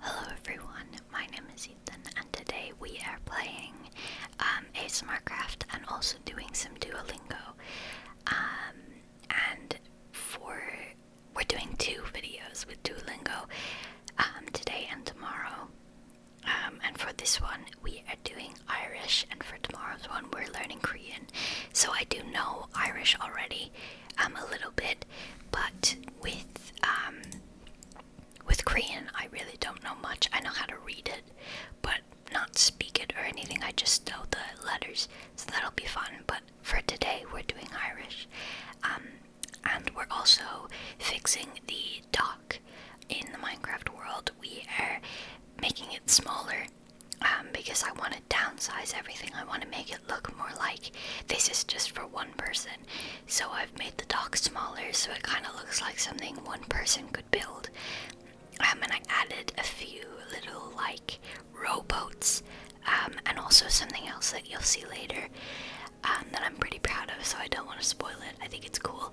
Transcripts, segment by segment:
Hello everyone, my name is Ethan and today we are playing a um, ASMR Craft and also doing some Duolingo. Um, and for we're doing two videos with Duolingo um, today and tomorrow. and for this one we are doing Irish and for tomorrow's one we're learning Korean so I do know Irish already um, a little bit, but with um, with Korean I really don't know much. I know how to read it, but not speak it or anything. I just know the letters, so that'll be fun. But for today, we're doing Irish, um, and we're also fixing the dock in the Minecraft world. We are making it smaller um, because I want to downsize everything. I want to make it look more like this is just for one person. So I've made the dock smaller so it kind of looks like something one person could build. Um, and I added a few little like rowboats um, and also something else that you'll see later that I'm pretty proud of so I don't want to spoil it. I think it's cool.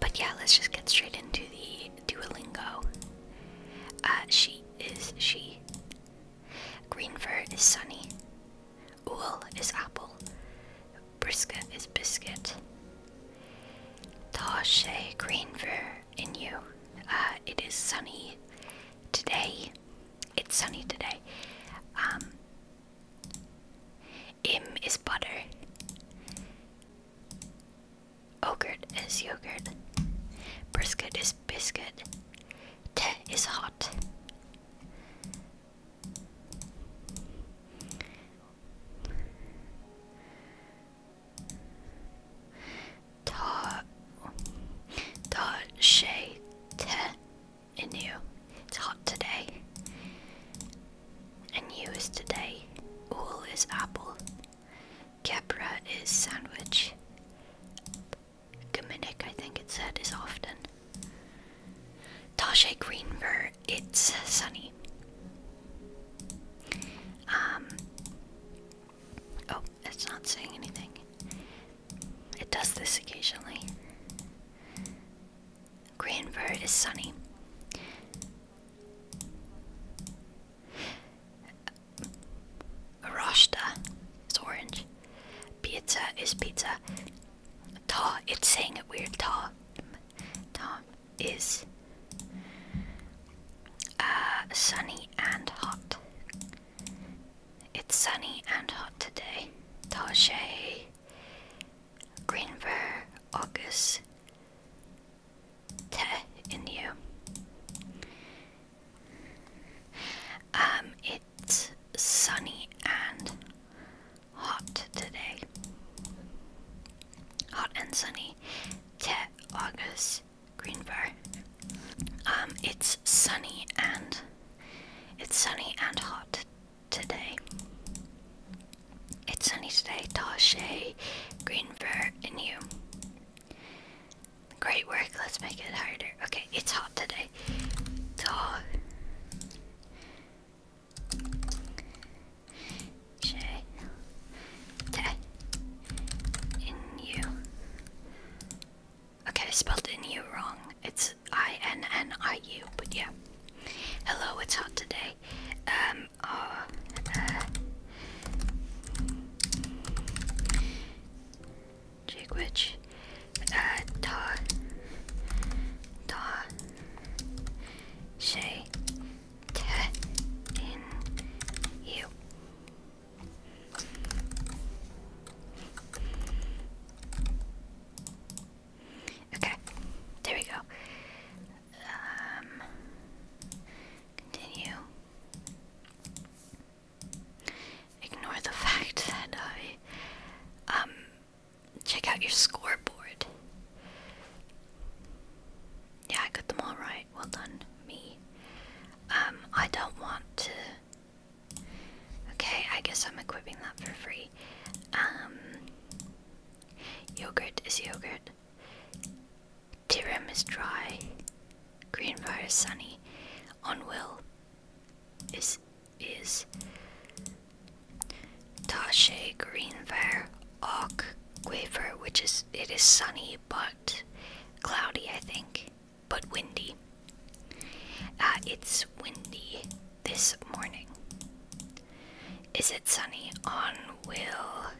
but yeah, let's just get straight into the Duolingo. Uh, she is she. Green fur is sunny. Ool is apple. Brisket is biscuit. Tashe green fur in you. Uh, it is sunny today. It's sunny today. Um, Im is butter. Ogurt is yogurt. Brisket is biscuit. Te is hot. Ta Ta She Te Inu. It's hot today. And you is today. All is apple. Capra is sandwich. Dominic, I think it said, is often. Tasha Greenver, it's sunny. Um. Oh, it's not saying anything. It does this occasionally. Greenver is sunny. Rasta is orange. Pizza is pizza. Ta, it's saying it weird. Ta, ta is uh, sunny and hot. It's sunny and hot today. Tache, Greenver, August, te in you. Um, it's sunny and hot today. Hot and sunny. Te August Greenberg. Um, it's sunny and it's sunny and hot today. It's sunny today. Tashe Greenberg in you. Great work, let's make it harder. Okay, it's hot today. Dog. Okay, spelled in wrong. It's I N N I U, but yeah. Hello, it's hot today. Um, there. Jigwitch, uh, Ta, Shay, Te, In, You. Okay, there we go. Um, continue. Ignore the fact that I um check out your scoreboard. Yeah, I got them all right. Well done, me. Um, I don't want to. Okay, I guess I'm equipping that for free. Um, yogurt is yogurt. Tirim is dry. Greenbrier is sunny. Will is is Tashe Greenbrier Oak Quaver, which is it is sunny but cloudy I think. But windy. Uh, it's windy this morning. Is it sunny on will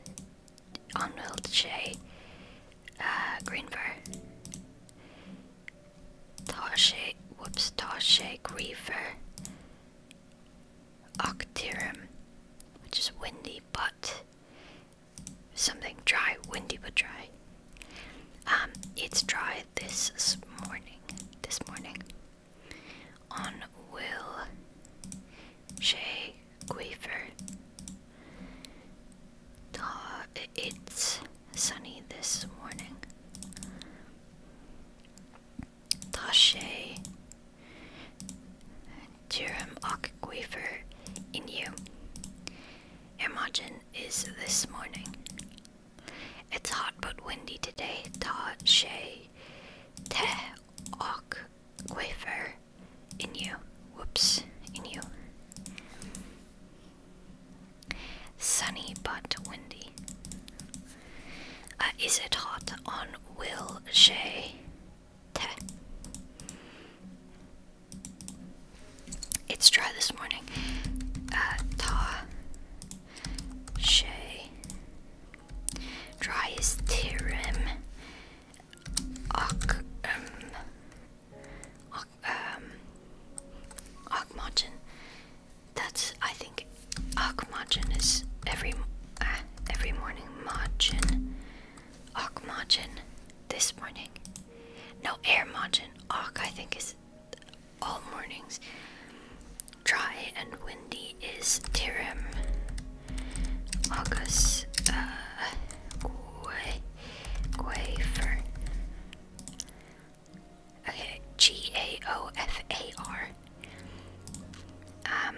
Onweld J, uh, Greenver, Toshe, whoops, Toshe, Griever, Octirum, which is windy but something dry, windy but dry. Um, it's dry this morning, this morning. On will Shea Quaver. Uh, it's sunny this morning. Tashe Durham Aquifer in you. Imagine is this morning. It's hot but windy today. Ta she te ok wafer in you. Whoops, in you. Sunny but windy. Uh, is it hot on Will Shay? Te. It's dry this morning. Uh, ta. Shay. Dry is tirim och, um, och, um, Ogmodgen. That's, I think, Ogmodgen is every, ah, every morning. Modgen. Ogmodgen. This morning. No, Airmodgen. Och, I think, is all mornings. Dry and windy is tiram. August uh Quafer. Okay, G A O F A R. Um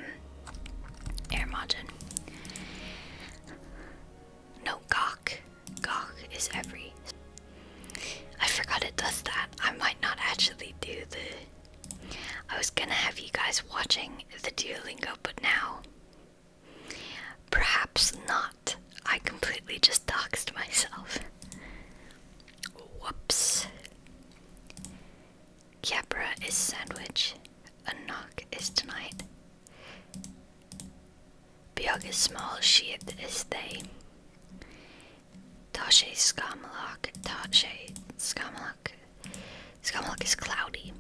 No gawk. Gawk is every I forgot it does that. I might not actually do the I was gonna have you guys watching the Duolingo, but now Perhaps not. I completely just doxed myself. Whoops. Capra is sandwich. A knock is tonight. Biog is small, sheath is they. Tashe Skamalok, Tashe Skamalok. Skamalok is cloudy.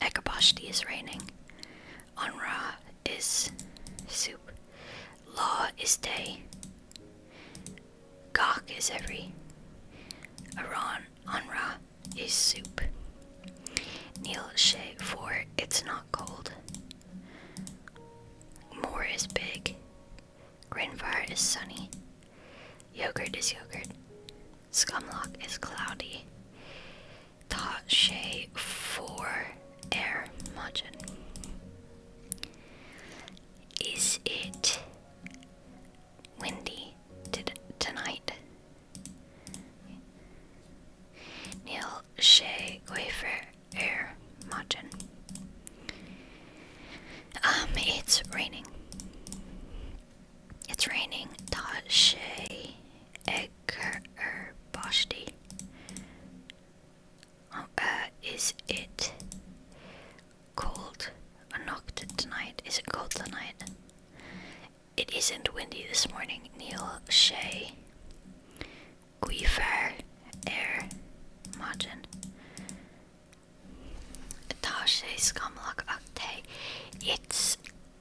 Ekabashti is raining. Onra is soup. Law is day. Gok is every. Aron Onra is soup. Neil Shay for it's not cold. Moor is big. Grinvar is sunny. Yogurt is yogurt. Scumlock is cloudy. Ta for air margin. Is it windy tonight? Neil she wafer air margin. Um, it's raining. It's raining. Tashe Egger Boshti. Oh, uh, is it cold? I tonight. Is it cold tonight? It isn't windy this morning. Neil Shea. Guifer Air Margin. Tashe Skamlak Akte. It's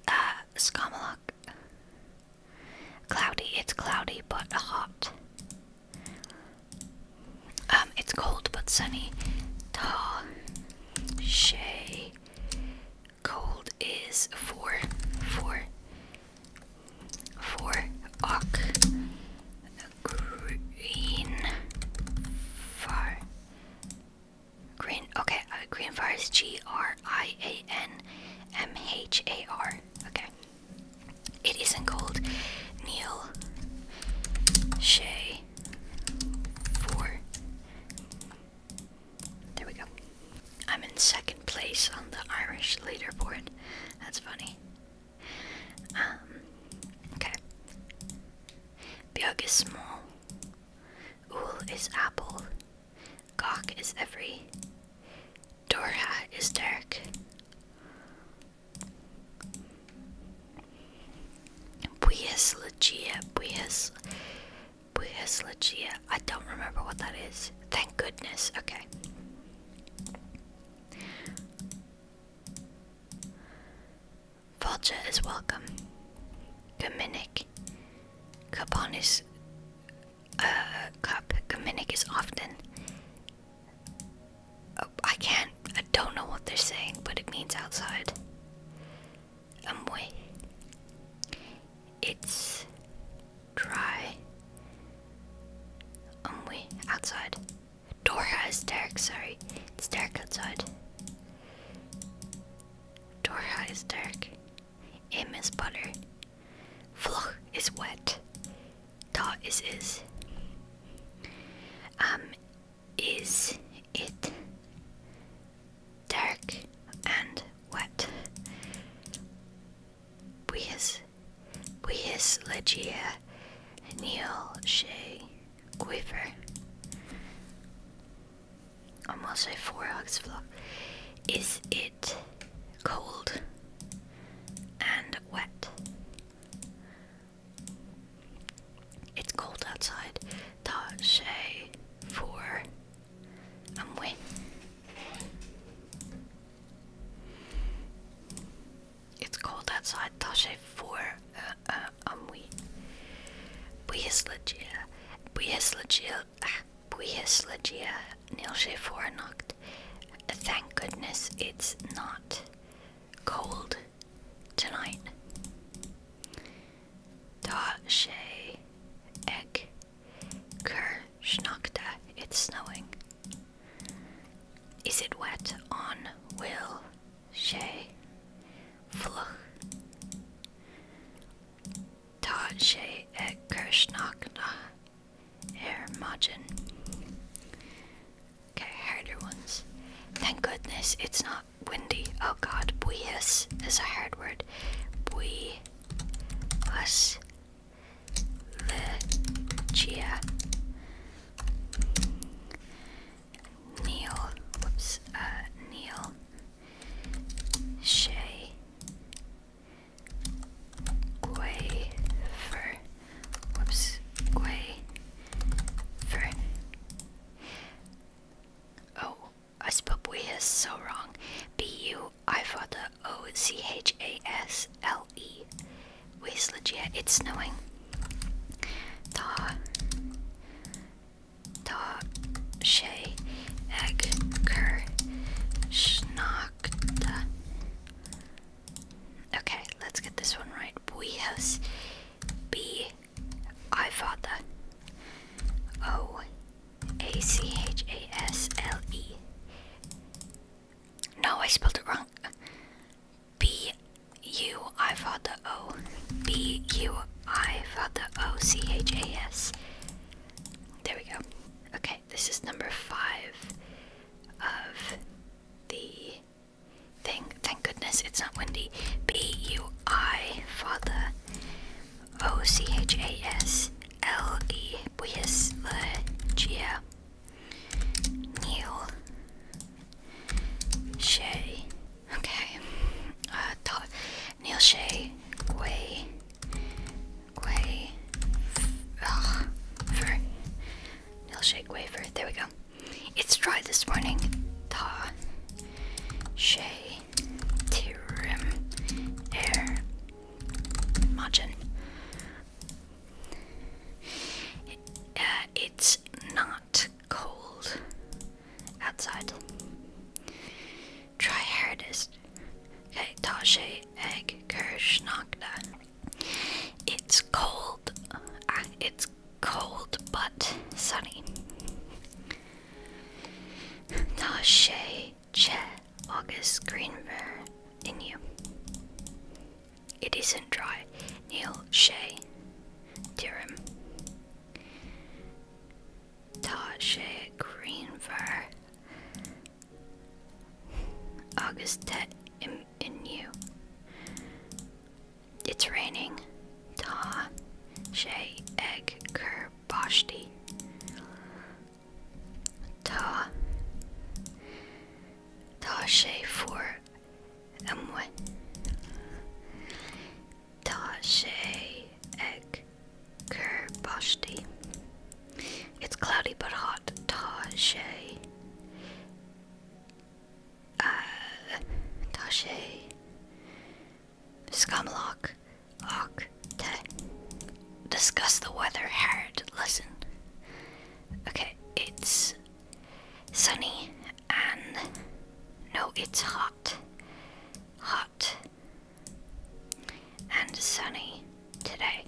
uh, Cloudy, it's cloudy but hot. Um, it's cold but sunny. Ta Shay. Cold is four, four, four, ock, green, far, Green, okay, uh, Green Fire is G R I A N M H A R. Okay. It isn't gold. Neil Shay 4. There we go. I'm in second place on the Irish leaderboard. That's funny. Um, okay. Björk Ul is apple. Gok is every. Dorha is dark. Buias Legia, Buias, Buias Legia. I don't remember what that is. Thank goodness. Okay. Vulture is welcome. Gaminic. Caponis. Uh, cup. Gaminic is often. Oh, I can't. I don't know what they're saying, but it means outside. Amway. It's dry. Amway. Outside. Dora is Derek, sorry. It's Derek outside. Dora is dark. M is butter. Floch is wet. Ta is is. Um, is it dark and wet? We is, we is Legia, Neil Shay Quiver. I'm also for Hugsflop. Is it cold and wet? It's cold outside. Tashe for I'm wet. It's cold outside. Tashe for uh, uh, I'm wet. Buyaslegia. Buyaslegia Puieslegia Nilshefornocht. Thank goodness it's not cold tonight. Da she egg ker schnokta. It's snowing. Is it wet on will she fluch? Taje et Kershnakna Hermagen. Okay, harder ones. Thank goodness it's not windy. Oh god, buias is a hard word. Bui us Ligia Neil whoops uh Neil Shay Quaver Whoops Quaver Oh, I spelled Weas so wrong. B U I for it's snowing. Ta da she egg ker schnackta. Okay, let's get this one right. Buihos B I father O A C H A S L E. No, I spelled it wrong. B U I thought the O B U I thought the O C H A S there we go. Okay, this is number five of the thing. Thank goodness it's not windy. B U I father O C H A S L E Buis Gia Neil Shay. Okay. Uh, Neil Shea, Gwei, Gwei, Neil Shea, Gwei, There we go. It's dry this morning. Ta, Shea, Tirim, Air, Majin. Uh, it's not cold outside. Try hardest. Keitashe egg kershnakda. It's cold. Uh, it's cold but sunny. Tashe che August Greenver in you. It isn't dry. Neil Shea Tirim. Tasha Greenfer, Augusta in, in you. It's raining. Ta Shay Egg Kerboshti. Ta Ta Shay for Emwe. Tashay Egg Kerbashti. It's cloudy but hot. Tashay. Uh, Tashay. Scumlock. Discuss the weather. Hard. Listen. Okay, it's sunny and no, it's hot. Hot and sunny today.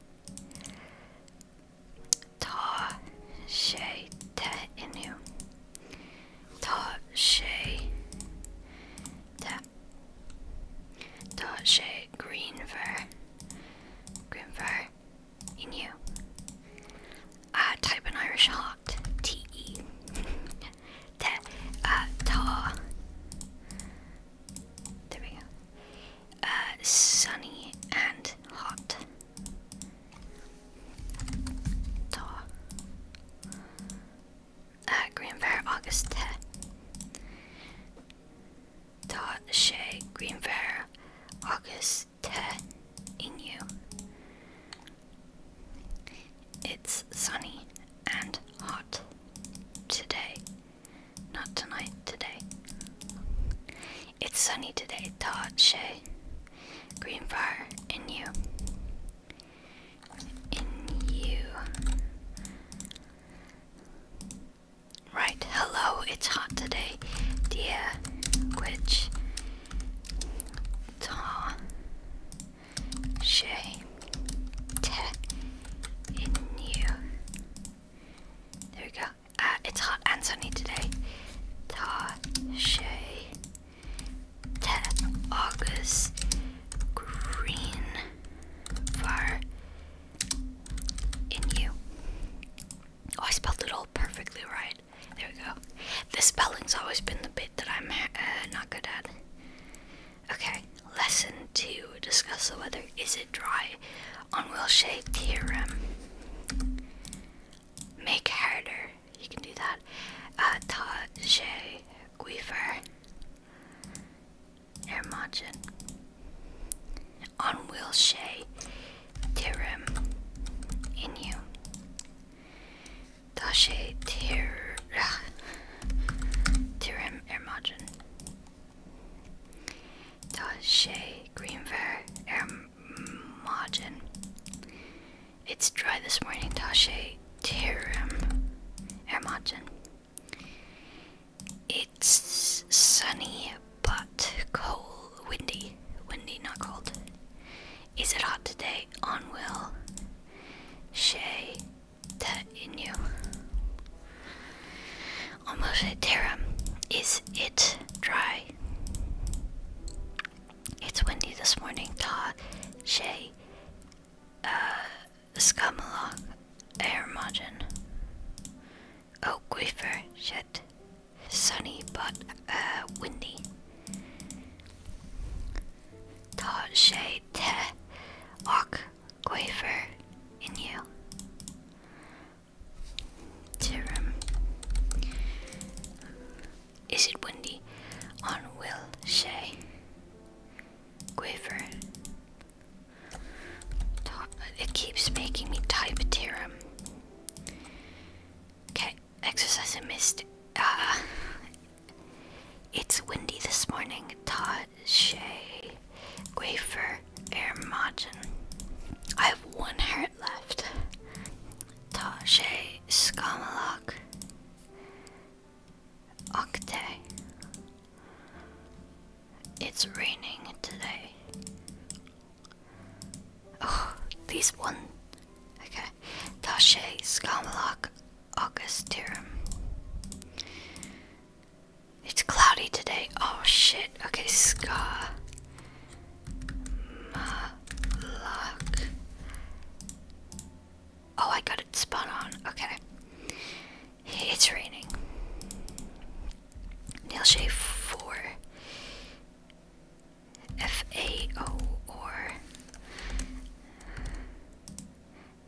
Ta she te inu. Ta she te. Ta she green ver. Green ver inu. I ah, type an Irish hot. T E. Te uh, There we go. Uh, sunny and hot. Ta uh, green bear August Ta Shay Green Bear August Te Inu it's sunny and hot today. Not tonight, today. It's sunny today, Todd Shea. Green fire in you. In you. Right, hello, it's hot today, dear. Which. Ta shame in you. There we go. Uh, it's hot and sunny today. Ta shay August green far in you. Oh, I spelled it all perfectly right. There we go. The spelling's always been the bit that I'm uh, not good at. Okay, lesson two discuss the weather. Is it dry? On shay tiram, Make harder. You can do that. Uh, Tajay Guifer. Hermagin. On shay tiram, In you. Tashe theorem. Theorem Hermagin. Tache Greenver Ermagin. It's dry this morning, Tache Tirum Ermagin. It's sunny but cold, windy, windy, not cold. Is it hot today? On will. Shay that in you. Omoceterum. Is it dry? It's windy this morning. Ta, Shay, uh, Scamalog, Airmogen, Oak oh, Sunny but uh, windy. Ta, Shay, Te, Ok, Quaver in you. Serum. Is it windy? On will Shay. Quiver. Top. It keeps making me type theorem. Okay, exercise I missed. Ah, it's windy this morning. Todd. Shay Wafer Ermagin. I have one heart left. Tashay Skamalok Okte. It's raining today. Oh, these one. Okay. Tashay Skamalok Augustirum. It's cloudy today. Oh shit. Okay, Ska. Oh, I got it spun on. Okay. It's raining. Neil shave 4. F A O or.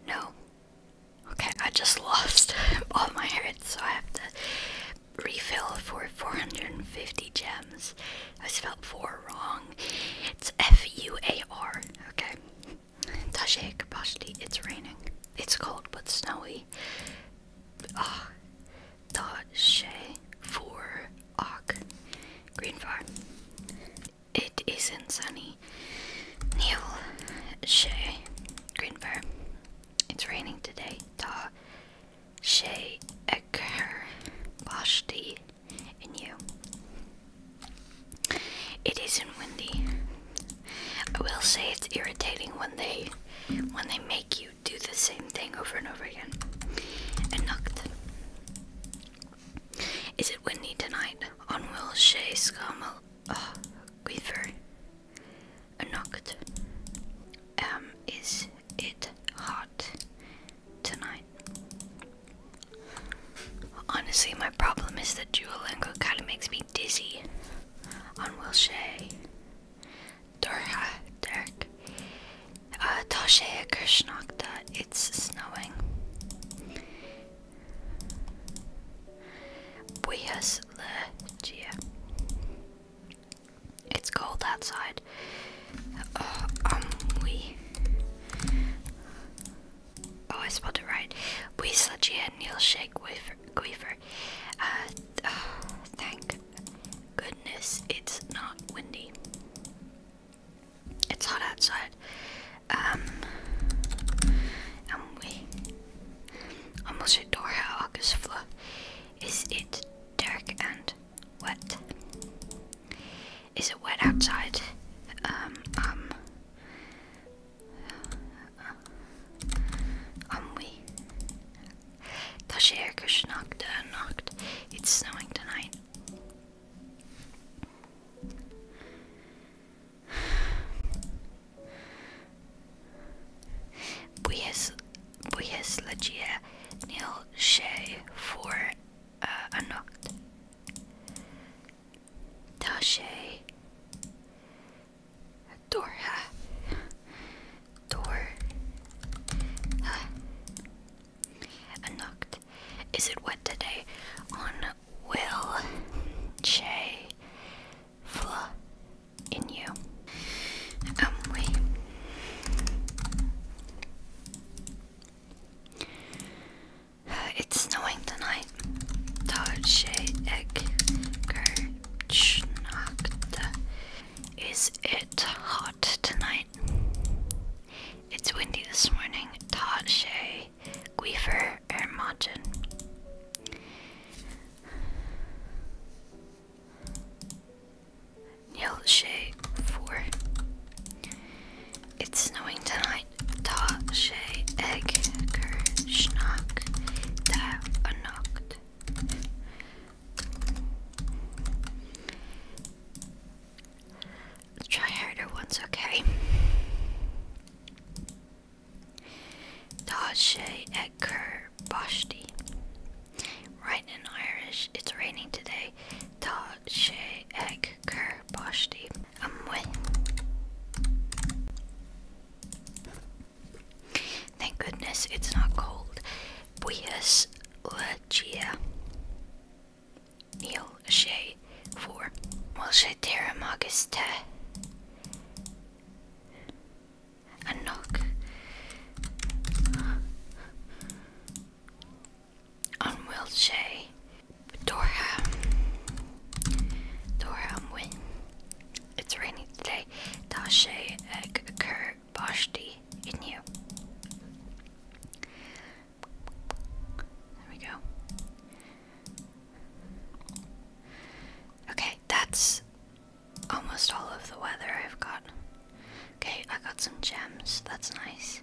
No, Okay, I just lost all my hearts, so I have to refill for 450 gems. I spelled four wrong. It's F U A R. Okay. Tashe Kapashti, it's raining. It's cold but snowy. Ah. Tashe for Ok. Green far. It isn't sunny. Neil Shea Greenberg. It's raining today. Ta Shea Ecker Bashti and you. It isn't windy. I will say it's irritating when they when they make you do the same thing over and over again. And knocked. Is it windy tonight? On Will Shea Scamal ah, quiver, a Um, is it hot tonight? Honestly, my problem is that Duolingo kind of makes me dizzy on Wilshay. Dorha, Derek. Uh, Toshe Krishnakta, it's snowing. Buenos Aires. It's cold outside. Uh, um, we. Oh, I spelled it right. Buenos Aires, Neil Shake Guifer. Uh, oh, thank goodness it's not windy. It's hot outside um we almost dorthe agus flu is it dark and wet is it wet outside um um um we Tá sé go snacht a nacht it's snowing tonight Bundesliga nil she for uh, eh, a noct. Da she door ha door ha a noct. Is it wet today? On will she flaw in you. Only um, it's snowing tonight. Is it hot tonight? It's windy this morning. Guifer er Ermagin. Neil Shay 4. It's snowing tonight. Ta Shay Egg Ker Schnock Da Try harder once, okay? she Dodge cur Boshti. Writing in Irish, it's raining today. Dodge Edgar Boshti. Amwe. Thank goodness it's not cold. Buias Legia. Neil Shea for. Molshe Teramagus Te. A knock on Wiltshire. Dorham. Dorham It's raining today. Dashe Eg uh, Ker Boshti There we go. Okay, that's almost all of the weather I've got. Okay, I got some gems. That's nice.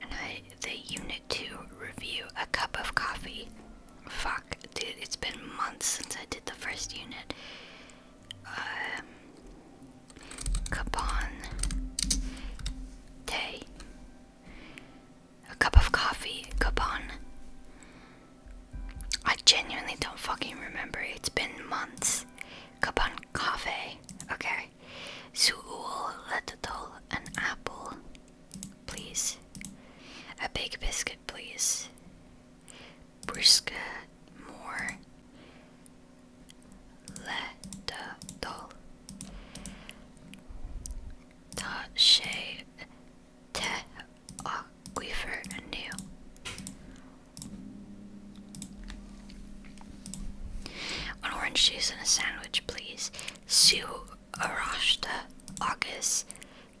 And I the unit to review a cup of coffee. Fuck, dude, it's been months since I did the first unit. Um, Capon Day. A cup of coffee, coupon. I genuinely don't fucking remember. It's been months. Coupon coffee. Okay. Suul letadol, an apple, please. A big biscuit, please. Brisket, more. Letadol. Ta she te aquifer anew. An orange juice and a sandwich, please. Su arashta agus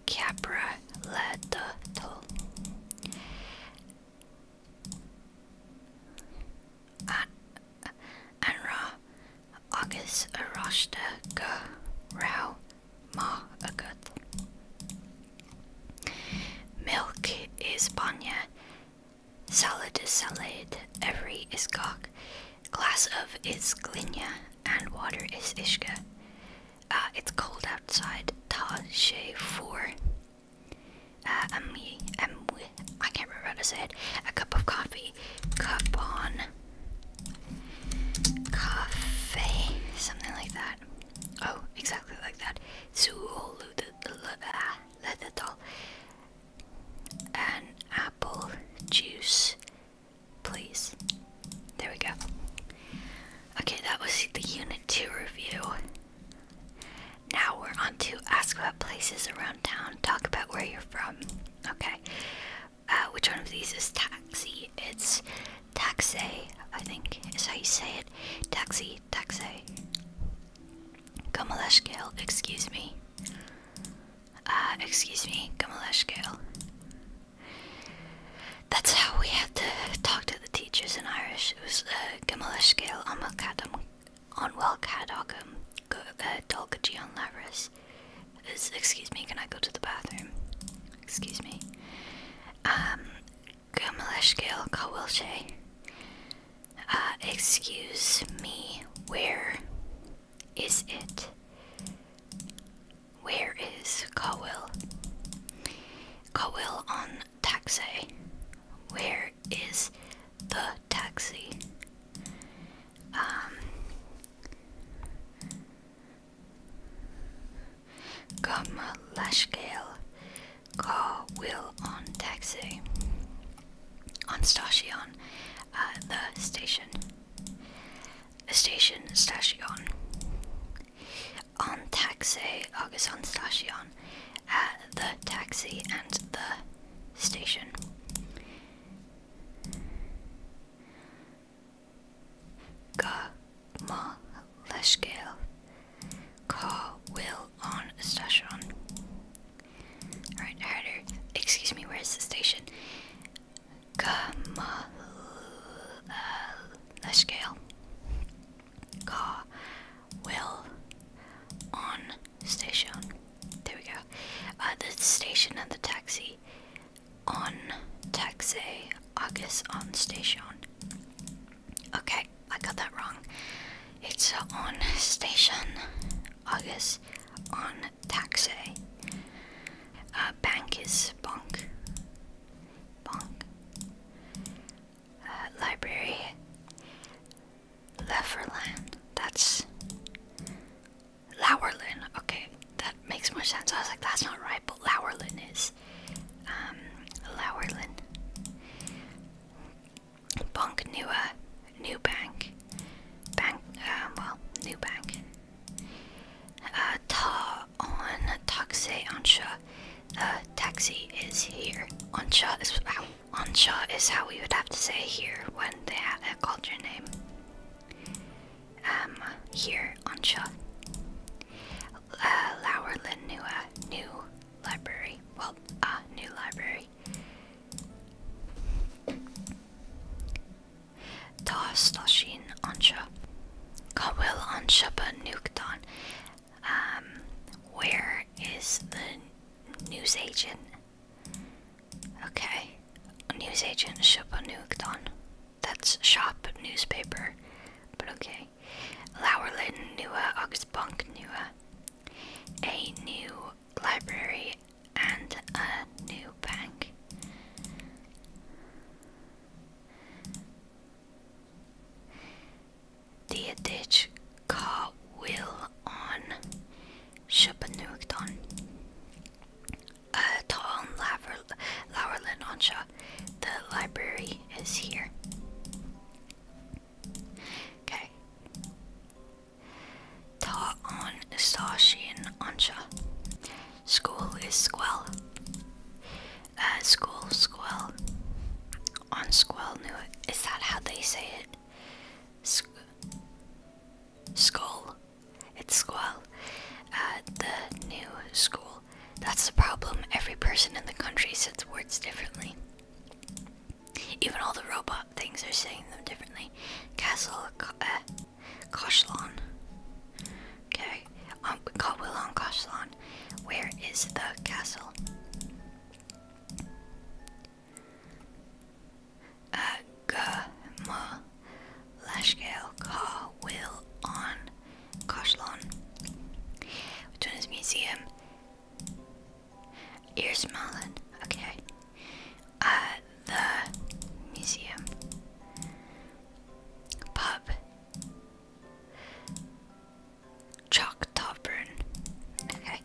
capra leta tol. Anra agus aráiste go rá má agat. Milk is banya, salad is salad, every is gok, glass of is glinya, and water is ishka. Uh, it's cold outside, ta she four. Uh, um, um, I can't remember what I said. A cup of coffee. Cup on Cafe, something like that. Oh, exactly like that. Zulu, an apple juice, please. There we go. Okay, that was the Unit 2 review. Now we're on to ask about places around town, talk about where you're from. Okay, uh, which one of these is taxi? It's taxi, I think is how you say it. Taxi, taxi. Gamaleshkale, excuse me. Uh, excuse me, Gamaleshkale. That's how we had to talk to the teachers in Irish. It was Gamaleshkale uh, on Welcadocum, uh, Dolgaji on Laris. Excuse me, can I go to the bathroom? Excuse me. Um, Gumaleshkil Kawilche. Uh, excuse me, where is it? Where is Kawil? Kawil on taxi. Where is the taxi? um, Gamma Lashgale car wheel on taxi on station uh, the station station station on taxi august on station uh, the taxi and the station Ga leshgale. Ka will on station. Alright, harder. Excuse me, where's the station? Ka leshgale. Ka will on station. There we go. Uh, the station and the taxi on taxi August on station. Okay, I got that wrong. It's on station August on taxi. Uh, bank is bonk. Bonk. Uh, library. Leverland. That's Lauerlin. Okay, that makes more sense. I was like, that's not right, but Lauerlin is. Um, Lauerlin. Bonk Nua. Uh, new Bank. Bank, uh, well, New Bank. Uh, ta on taxi Ansha. Uh, taxi is here. Ansha is how, Ansha is how we would have to say here when they have called your name. Um, here on Shaw. Uh, Lowerland new, new library. Well, uh, new library. Toss Toshin Ansha. Kawil Anshaba Nukton. Um, where is the newsagent? Okay. new Shopanukdon. That's shop newspaper. But okay. Lauerlin Nua Augsbunk Nua. A new library and a new bank. The ditch car will on Shupanukdon uh, Town Laurelin Ansha. The library is here. Okay. Ta on Sashin Ansha. School is Squell. Uh, school, Squell. On Squell, New. Is that how they say it? School. It's school. At uh, the new school. That's the problem. Every person in the country says words differently. Even all the robot things are saying them differently. Castle, uh, Koshlan. Okay, um, Kawilon Koshlan. Where is the castle? agama lashgale ka on Koshlon. Which one is museum? Ears Okay. Uh, the museum. Pub. Chalk Tavern. Okay.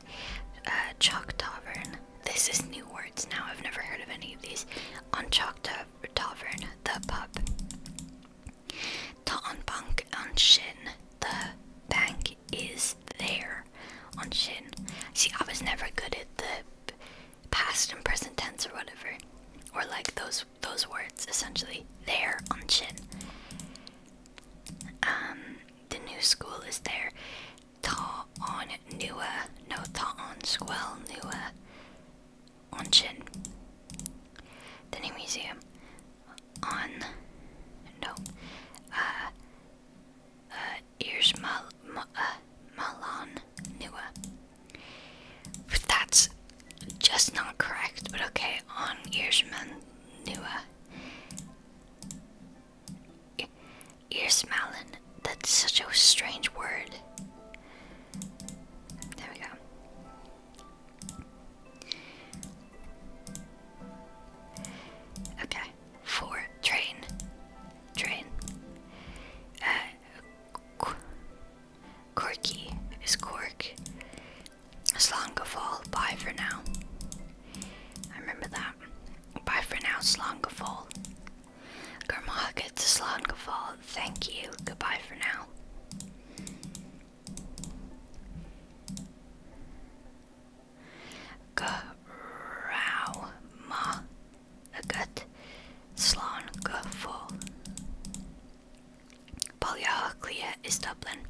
Uh, Chalk Tavern. This is new words now. I've never heard of any of these. On Chalk tavern, the pub. Ta on bank on shin, the bank is there on shin. See, I was never good at the past and present tense or whatever, or like those those words essentially. There on shin. Um, the new school is there. Ta on nua, no ta on squel nua. On chin, The new museum on no uh uh ears mal ma, uh, Malan That's just not correct, but okay, on ears mal Earsman Nua. Earsmalin, that's such a strange word. There we go. Okay. Four. Train. Train. Corky uh, is Cork. Slongafall. Bye for now. I remember that. Bye for now, Slongafall. Garmok gets a Thank you. Goodbye for now. Grauma gut slán gufol. Baljaaklia is Dublin.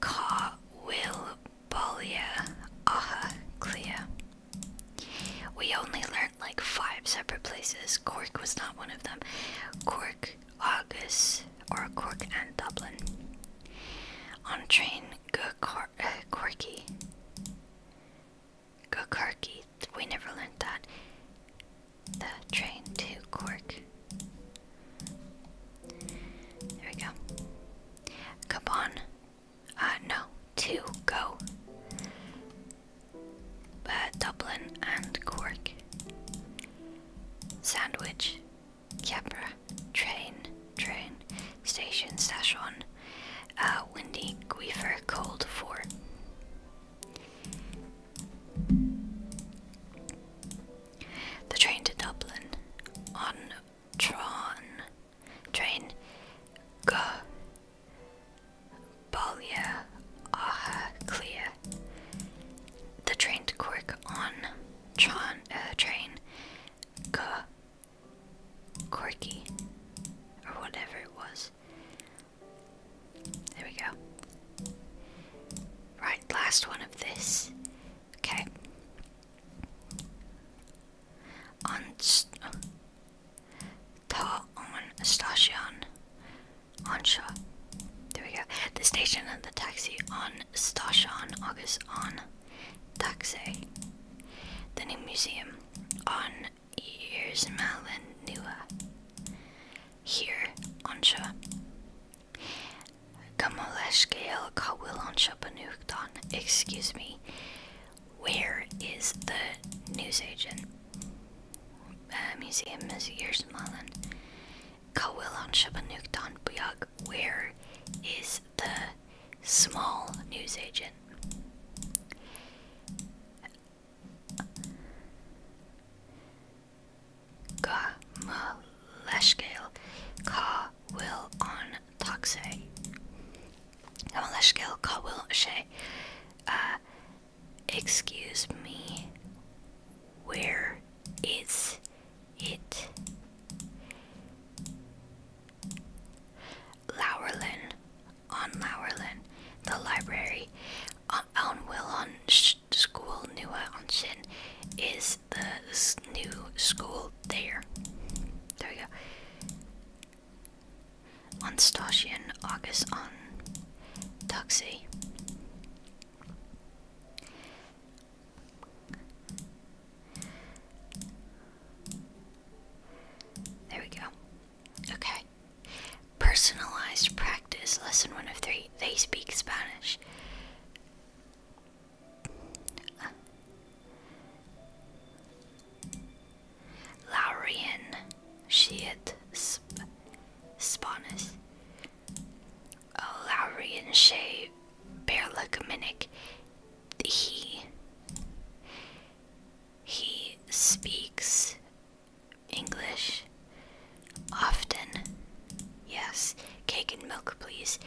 Ka will Bolia, Aha, Clea. We only learned like five separate places. Cork was not one of them. Cork, August, or Cork and Dublin. On train, go Cor uh, We never learned that. The train to Cork. There we go. Come on. Uh, no. Two. Go. Uh, Dublin and Cork. Sandwich. Capra. Train. Train. Station. Station. Uh, windy. Guifer. Cold. Four. The train to Dublin on Tron, Train, Go, Balia, Aha, Clear. The trained quirk on Tron, uh, Train, Go, Quirky, or whatever it was. There we go. Right, last one of this. Okay on Ta on station Ansha. There we go. The station and the taxi on station August on taxi. The new museum on years Malin Nua. Here Ansha will Excuse me. Where is the newsagent? Uh, museum is Yersmalen. Kawilan Shabanukton Buyag. Where is the small newsagent? Gamaleshkale. Ka will on Toxay. Gamaleshkil Kawil Ashay. Uh excuse me. Where is it? Lowerlin. On Lowerlin. The library. On Willon School Nua on Shin is is the new school there. There we go. On and August on Taxi. There we go. Okay. Personalized practice, lesson one of three. They speak Spanish. Uh. she Shield sp Spawnus. Oh, Laurian Shea Berlicominic. He. He speaks English often. Yes, cake and milk, please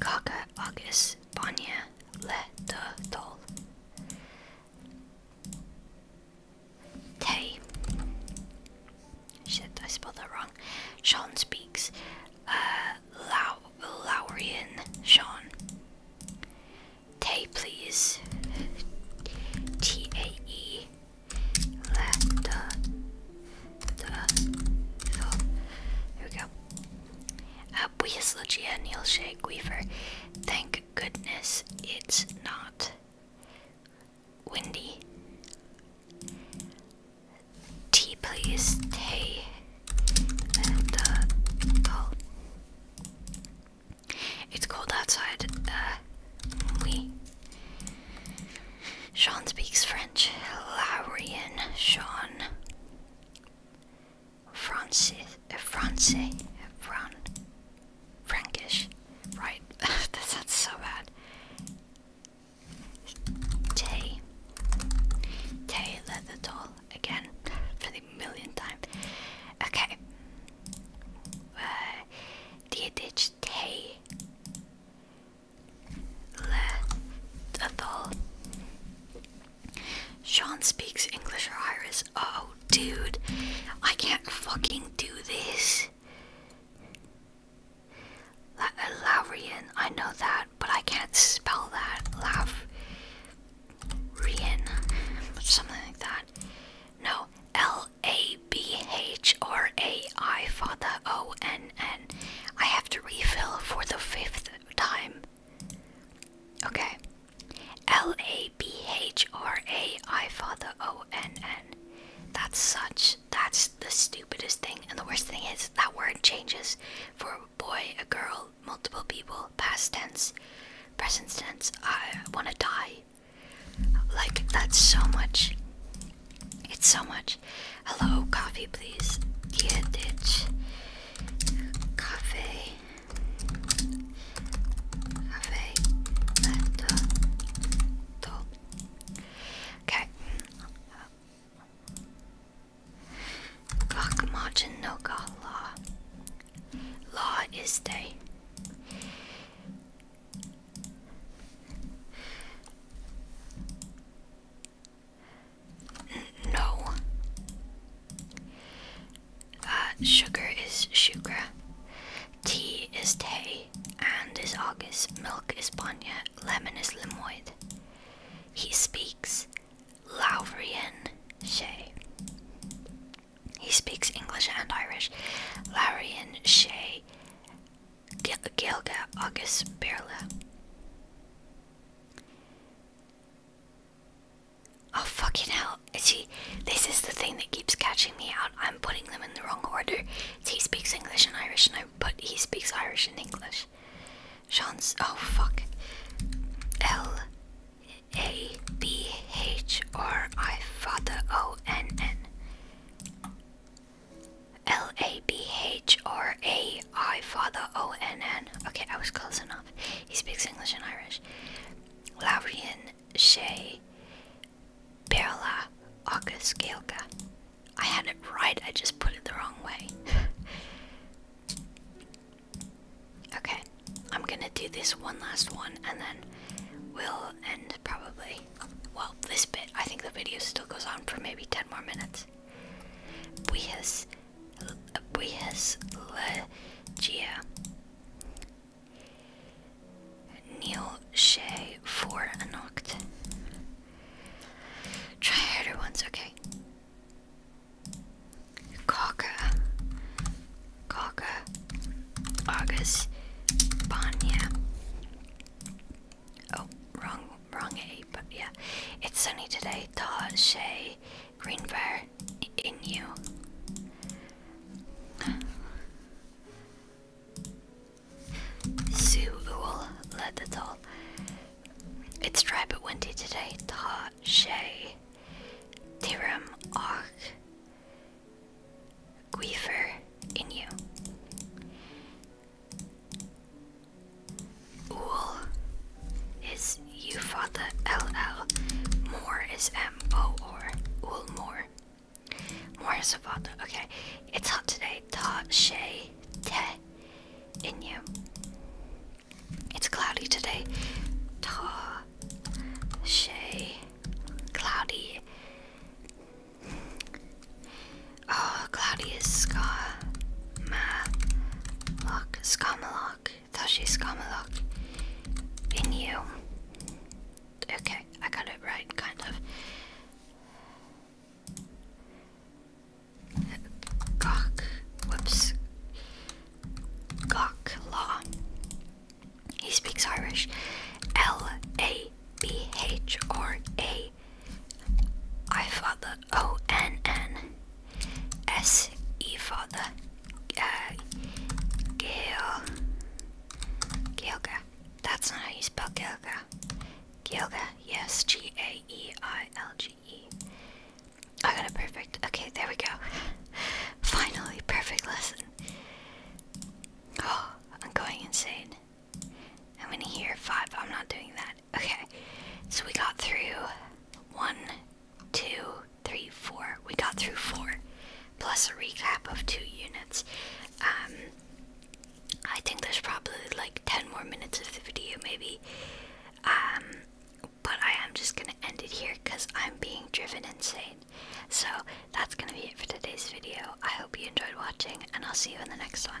kaka agus banya le do dol. Teddy. Shit, I spelled that wrong. Sean speaks. Uh, Lau Laurian Sean. Tay, please. T A E. Let the. The. So, we go. Объяслучья Нилше Weaver. Thank goodness it's not windy. Tea, please. Tay. And, uh, oh. It's cold outside. Uh, we. Sean speaks French. Laurian. Sean. Francis, uh, eh, France, eh, Fran, Frankish, right? that sounds so bad. Tay, Tay Leatherdoll again for the millionth time. Okay. Uh, Dietich Tay Leatherdoll. Sean speaks English or Irish. Oh, dude. I can't fucking do this. La uh, I know that, but I can't spell that. Laurian. Something like that. No. L A B H R A I for the O N N. I have to refill for the fifth time. Okay. L A B H R A I Father O N N. That's such. That's the stupidest thing. And the worst thing is that word changes for a boy, a girl, multiple people, past tense, present tense. I want to die. Like, that's so much. It's so much. Hello, coffee, please. Dietich cafe cafe laptop okay Rock margin no god law no. Uh, sugar is shukra. Tea is tay. And is August. Milk is Banya. Lemon is Lemoid. He speaks Laurian Shay. He speaks English and Irish. Laurian Shay. Gilga August Berla. Oh fucking hell. See, this is the thing that keeps catching me out. I'm putting them in the wrong order. he speaks English and Irish, and I but he speaks Irish and English. Sean's. Oh fuck. L A B H R I Father O N N. L A B H R A I Father O N N. Okay, I was close enough. He speaks English and Irish. Laurian Shea Berla Auguskelka. I had it right, I just put it the wrong way. okay, I'm gonna do this one last one and then we'll end probably. Well, this bit, I think the video still goes on for maybe 10 more minutes. Buijas Brihaslegia. Neil Shea for an noct. Try harder ones, okay. Coca. Coca. August. Banya. Oh, wrong, wrong A, yeah. It's sunny today. Ta Shea green fire in you. Sue led the toll. It's dry but windy today. Ta Shay Tiram Och Guifer in you. Ool is U father is M O Ool Moore. Moore is a father. Okay. It's hot today. Ta she te in you. It's cloudy today. Ta she cloudy. Oh, cloudy is ska ma lock Tashi Skamalok in you. Okay, I got it right, kind of. Gok, whoops. Gok He speaks Irish. L A B H R A. I thought the O N N S E for uh, Gil Gilga. That's not how you spell Gilga. Gilga, yes, G A E I L G E. I got it perfect. Okay, there we go. Finally, perfect lesson. Oh, I'm going insane. I'm gonna hear five. I'm not doing that. Okay, so we got through one, two, three, four. We got through four, plus a recap of two units. Um, I think there's probably like 10 more minutes of the video, maybe. Um, but I am just gonna end it here because I'm being driven insane. So that's gonna be it for today's video. I hope you enjoyed watching, and I'll see you in the next one.